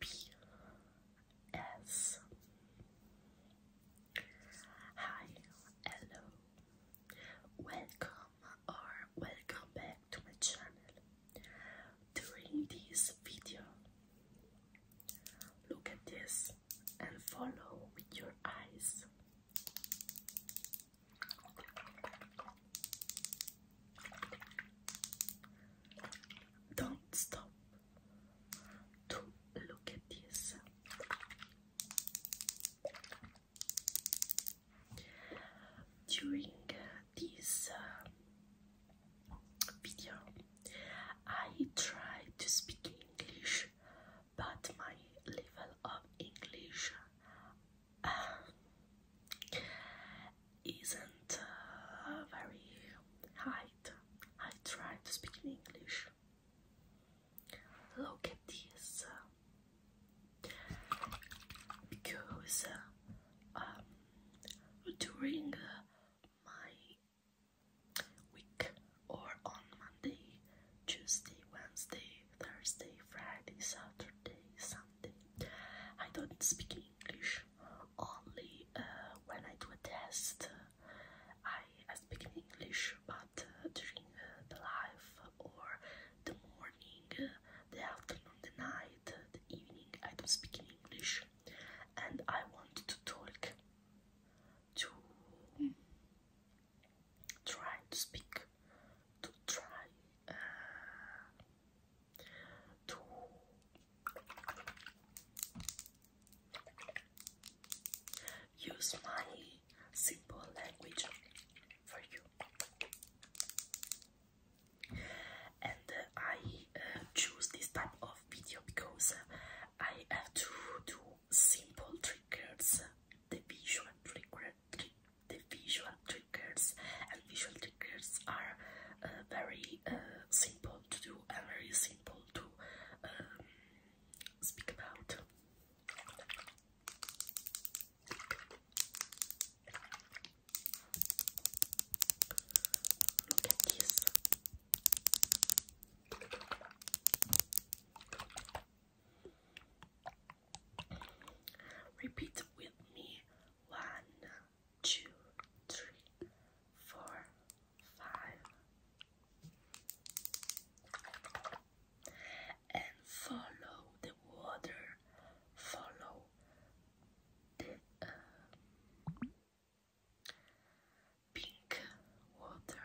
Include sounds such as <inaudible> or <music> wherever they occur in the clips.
P S Hi, hello, welcome or welcome back to my channel. During this video, look at this and follow with your eyes. Don't stop to look at this. During this uh, video, I tried to speak English, but my level of English uh, isn't uh, very high. I tried to speak in English. Look at this. Because um, during my week or on Monday, Tuesday, Wednesday, Thursday, Friday, Saturday, Sunday, I don't speak English. Only uh, when I do a test I speak in English, but uh, during uh, the life or the morning, uh, the afternoon, the night, the evening, I don't speak in English, and I want to talk to hmm. try to speak, to try to Use my simple language for you. And I uh, choose this type of video because I have to do simple triggers, the visual trigger, the visual triggers, and visual triggers are uh, very uh, simple to do and very simple to um, speak about. Look at this. Repeat with me one, two, three, four, and follow the water, follow the uh, pink water.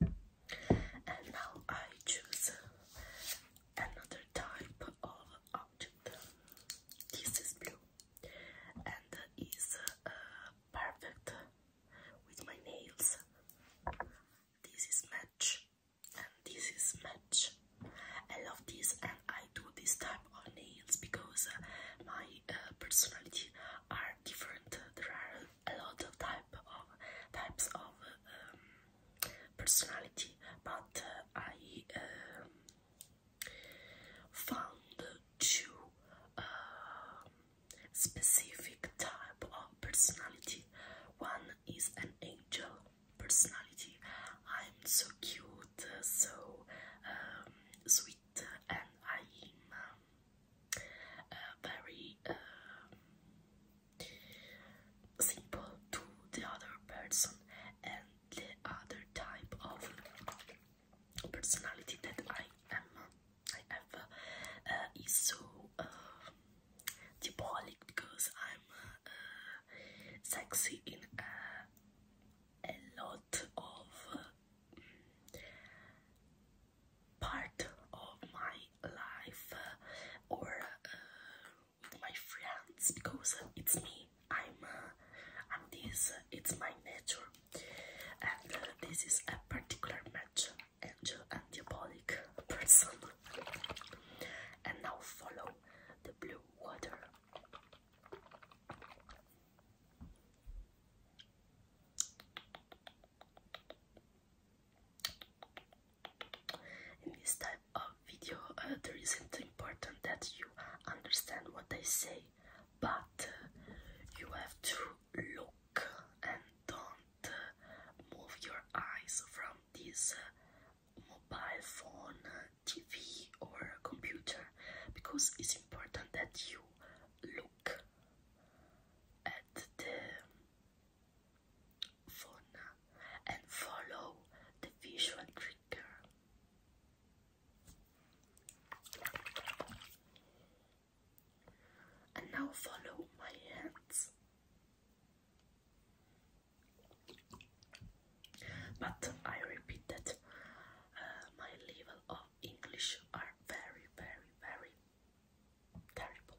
And now I choose another type of object. This is blue and is uh, perfect with my nails. This is match and this is match. I love this and I do this type of nails because uh, my uh, personality are different. There are a lot of type of types of um, personality, but uh, I um, found two uh, specific type of personality. One is an angel personality. I'm so cute, so um, sweet, and I'm uh, very simple to the other person and the other type of personality that I am I have uh, is so uh, because I'm uh, sexy in uh, a lot of part of my life or uh, my friends because it's me. I'm uh, I'm this. it's my nature, and uh, this is a particular match. Angel and diabolic person. And now follow the blue water. In this type of video, uh, there isn't important that you understand what I say, but uh, you have to look and don't uh, move your eyes from this uh, mobile phone, TV, or computer because it's important that you look at the and follow the visual trigger. And now follow my hands. But I repeat uh, my level of English are very, very, very terrible.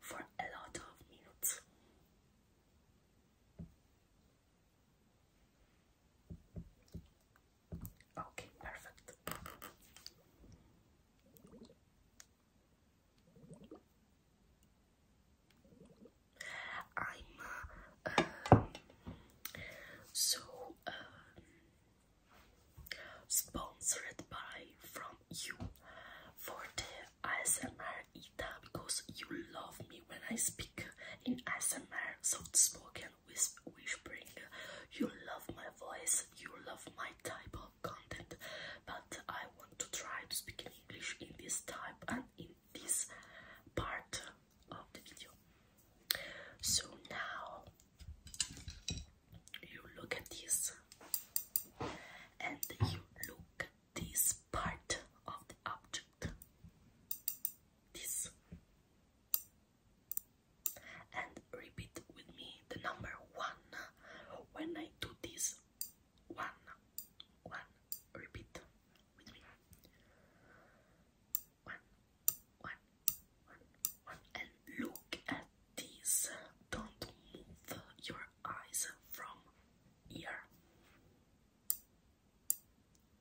for a lot of minutes. Okay, perfect. I'm uh, so uh, sponsored by from you for the ASMR Ita because you love me when I speak in ASMR soft spoken whispering. You love my voice, you love my type of content, but I want to try to speak in English in this type and in this part of the video. So now you look at this and you look this part of the object this and repeat with me the number one when I do this one one repeat with me one one one one and look these don't move your eyes from here.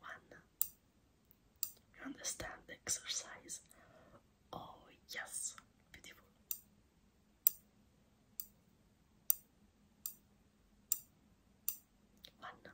One. You understand the exercise? Oh, yes, beautiful. One.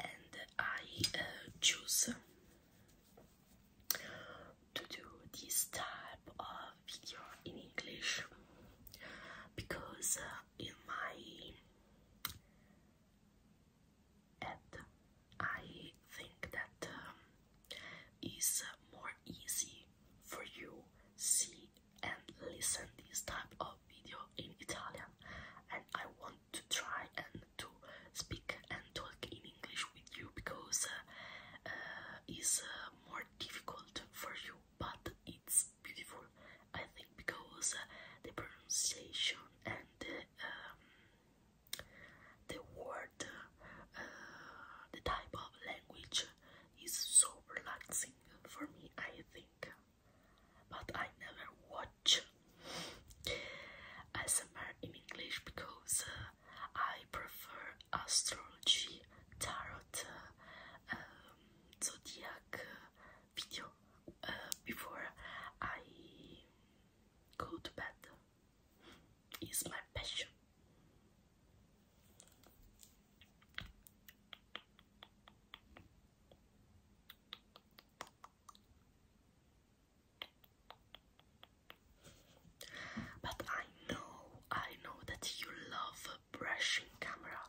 and I uh, choose to do this type of video in English because uh, in my head I think that um, more easy for you see and listen this type of video in Italian and I want to try and to speak and talk in English with you because uh, uh, it's uh, more difficult for you but it's beautiful I think because the pronunciation and the, um, the word, the type of language is so relaxing for me, I think. But I never watch ASMR in English because uh, I prefer astrology, tarot, uh, um, zodiac uh, video before I go to bed. It's my passion. But I know, I know that you love brushing camera.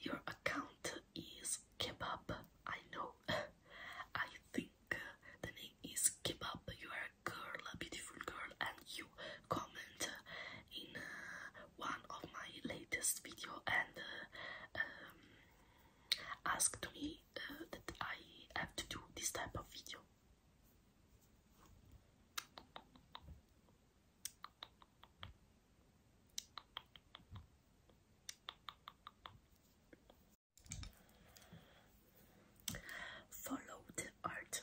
Your account is Kebab, I know. <laughs> I think the name is Kebab. You are a girl, a beautiful girl, and you comment in uh, one of my latest video and ask uh, um, me uh, that I have to do this type of video. Follow the art.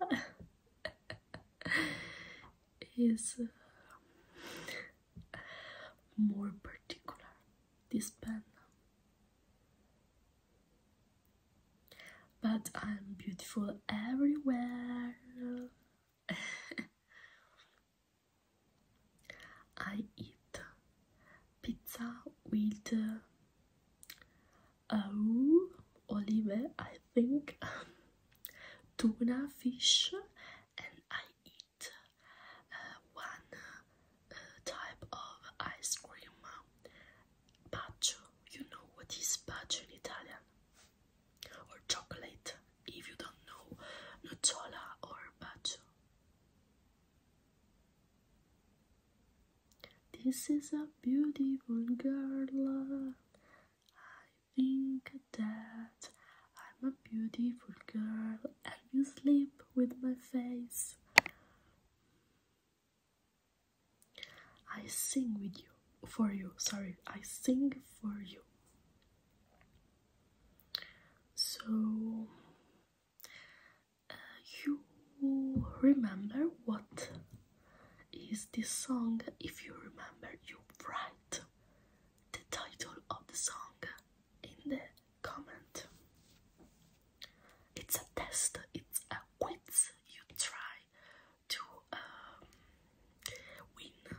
Ah. <laughs> is uh, more particular this pen but I'm beautiful everywhere <laughs> I eat pizza with uh, olive, I think, <laughs> tuna fish, and I eat uh, one uh, type of ice cream, bacio. You know what is bacio in Italian? Or chocolate, if you don't know, nutella or bacio. This is a beautiful girl. I think that I'm a beautiful girl, and you sleep with my face. I sing with you for you. Sorry, I sing for you. So uh, you remember what is this song? If you remember, you write the title of the song in the comment. It's a test, it's a quiz. You try to um, win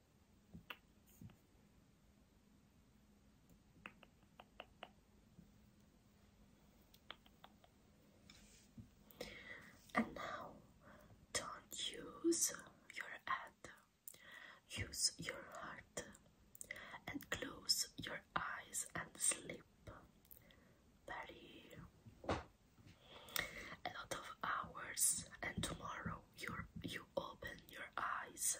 And now, don't use your head, use your heart, and close your eyes and sleep. Very a lot of hours, and tomorrow your you open your eyes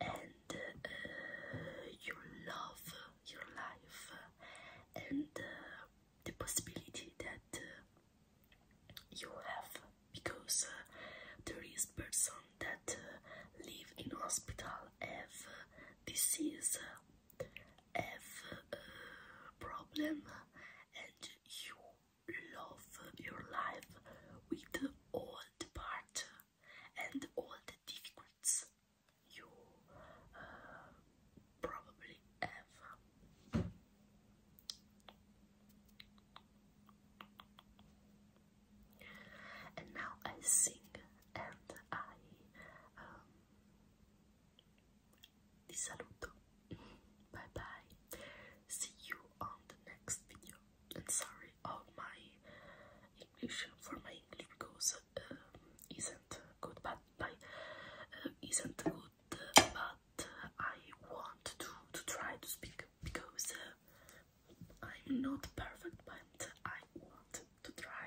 and uh, you love your life and uh, the possibility that uh, you have because uh, there is person that live in hospital have disease have uh, problem and you love your life with all the part and all the difficulties you uh, probably have. And now I sing and I um, Bye bye. See you on the next video. And sorry all oh, my English for my English because uh, isn't good, but uh, isn't good. but I want to to try to speak because uh, I'm not perfect, but I want to try.